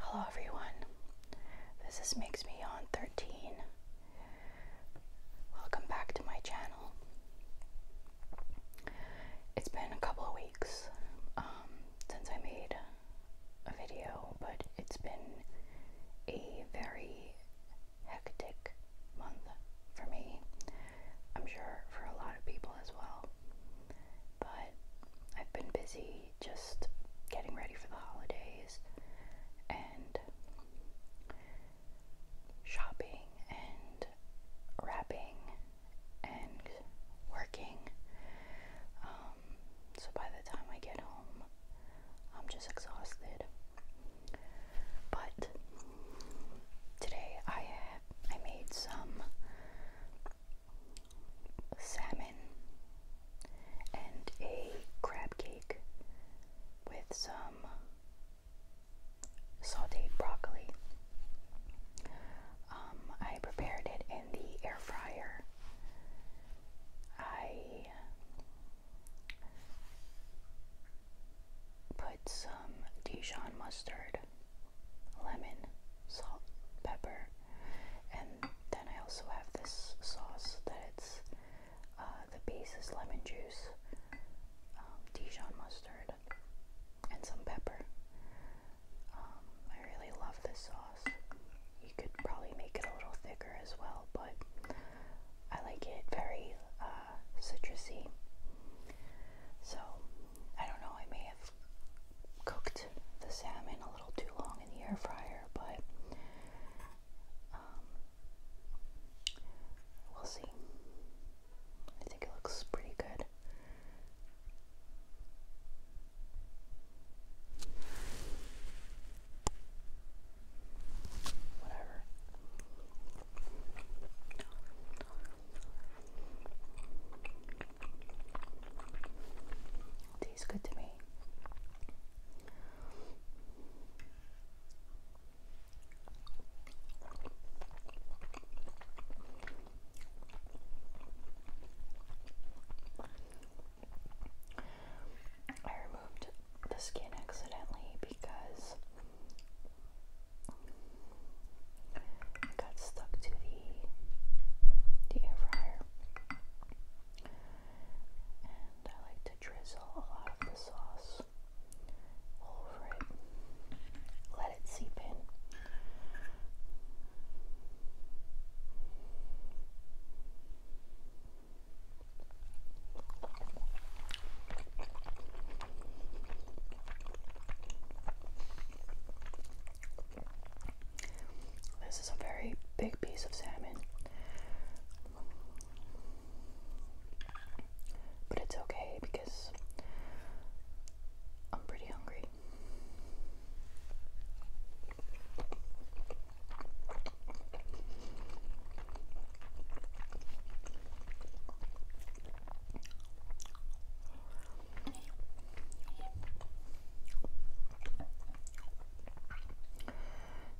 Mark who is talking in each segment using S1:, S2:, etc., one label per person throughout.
S1: Hello everyone. This is Makes Me Yawn 13. Welcome back to my channel. It's been a couple of weeks um, since I made a video, but it's been a very hectic month for me. I'm sure for a lot of people as well but I've been busy just getting ready for the holidays and shopping and wrapping and working. Um, so by the time I get home, I'm just exhausted. But today I I made some salmon and a crab cake with some sauteed broccoli. Um, I prepared it in the air fryer. I put some Dijon mustard lemon, salt, pepper, and then I also have this sauce that it's uh, the base is lemon juice, um, Dijon mustard, and some pepper. Um, I really love this sauce. You could probably make it a little thicker as well, but I like it very uh, citrusy. So I don't know. I may have cooked the salmon a little too long in the air fryer, but um, we'll see. I think it looks pretty good. Whatever. Tastes good to me. I removed the skin accidentally because it got stuck to the the air fryer. And I like to drizzle a lot of the sauce over it. Let it seep in. This is a very big piece of salmon. But it's okay because I'm pretty hungry.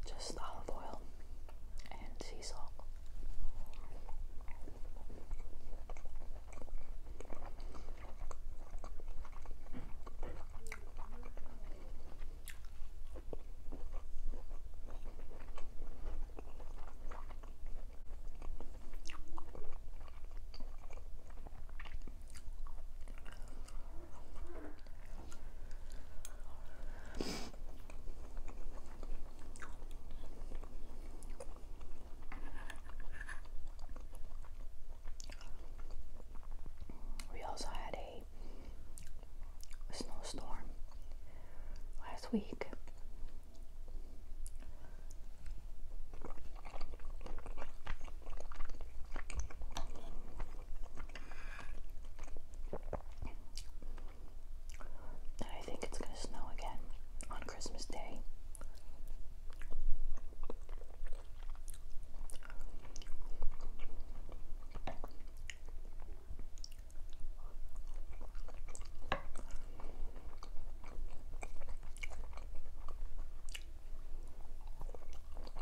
S1: Just olive oil and sea salt. We also had a snowstorm last week. And I think it's going to snow again on Christmas Day. Put a little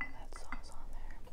S1: of that sauce on there.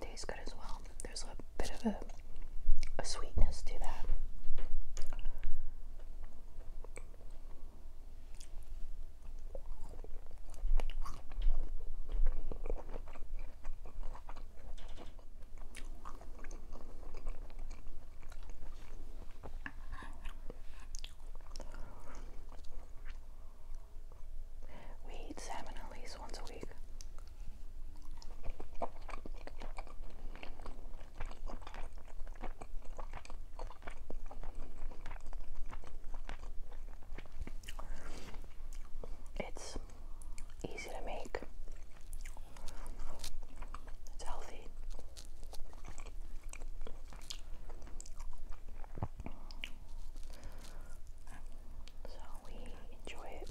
S1: Tastes good as well. There's a bit of a, a sweetness to that. We eat salmon at least once a week. It's easy to make. It's healthy. So we enjoy it?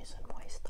S1: nice and moist.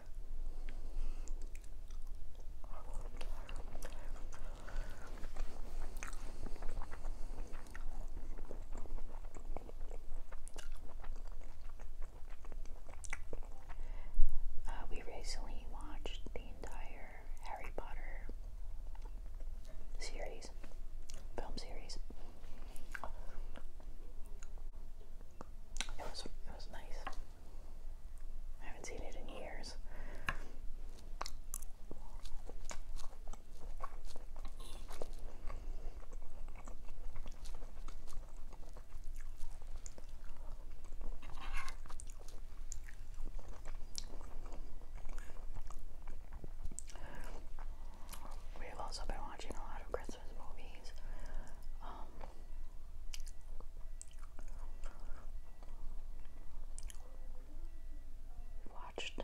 S1: Uh, we recently watched the entire Harry Potter series, film series. It was it was nice. I haven't seen it in years. We've also been watching a lot of Christmas movies. Um, watched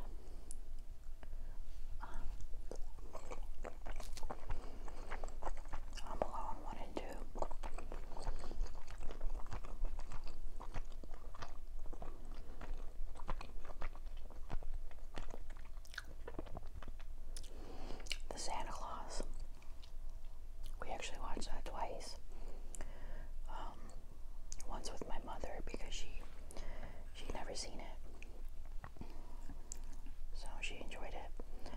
S1: um, Home Alone 1 and 2. The Santa Claus. We actually watched that twice. Um, once with my mother because she she'd never seen it, so she enjoyed it.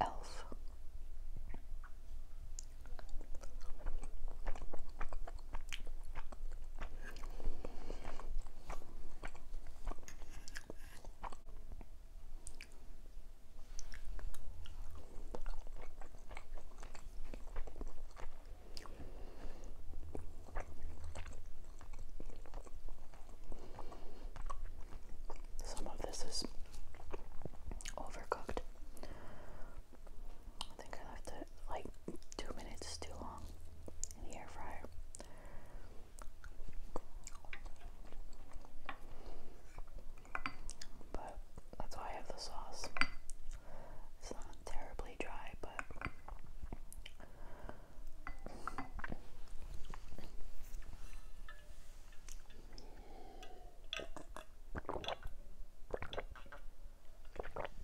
S1: Elf. Some of this is overcooked. I think I left it like two minutes too long in the air fryer. But that's why I have the sauce. It's not terribly dry, but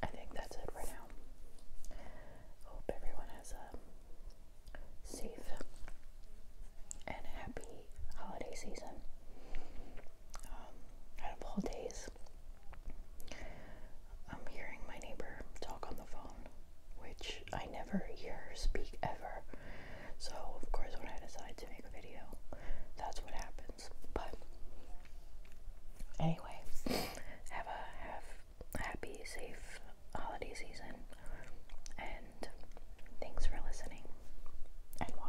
S1: I think that's it for now. Hope everyone has a safe and happy holiday season. Um, out of all days, I'm hearing my neighbor talk on the phone, which I never hear speak ever. So, of course, when I decide to make a video, that's what happens. But anyway, have a have a happy, safe holiday season, and thanks for listening and watching.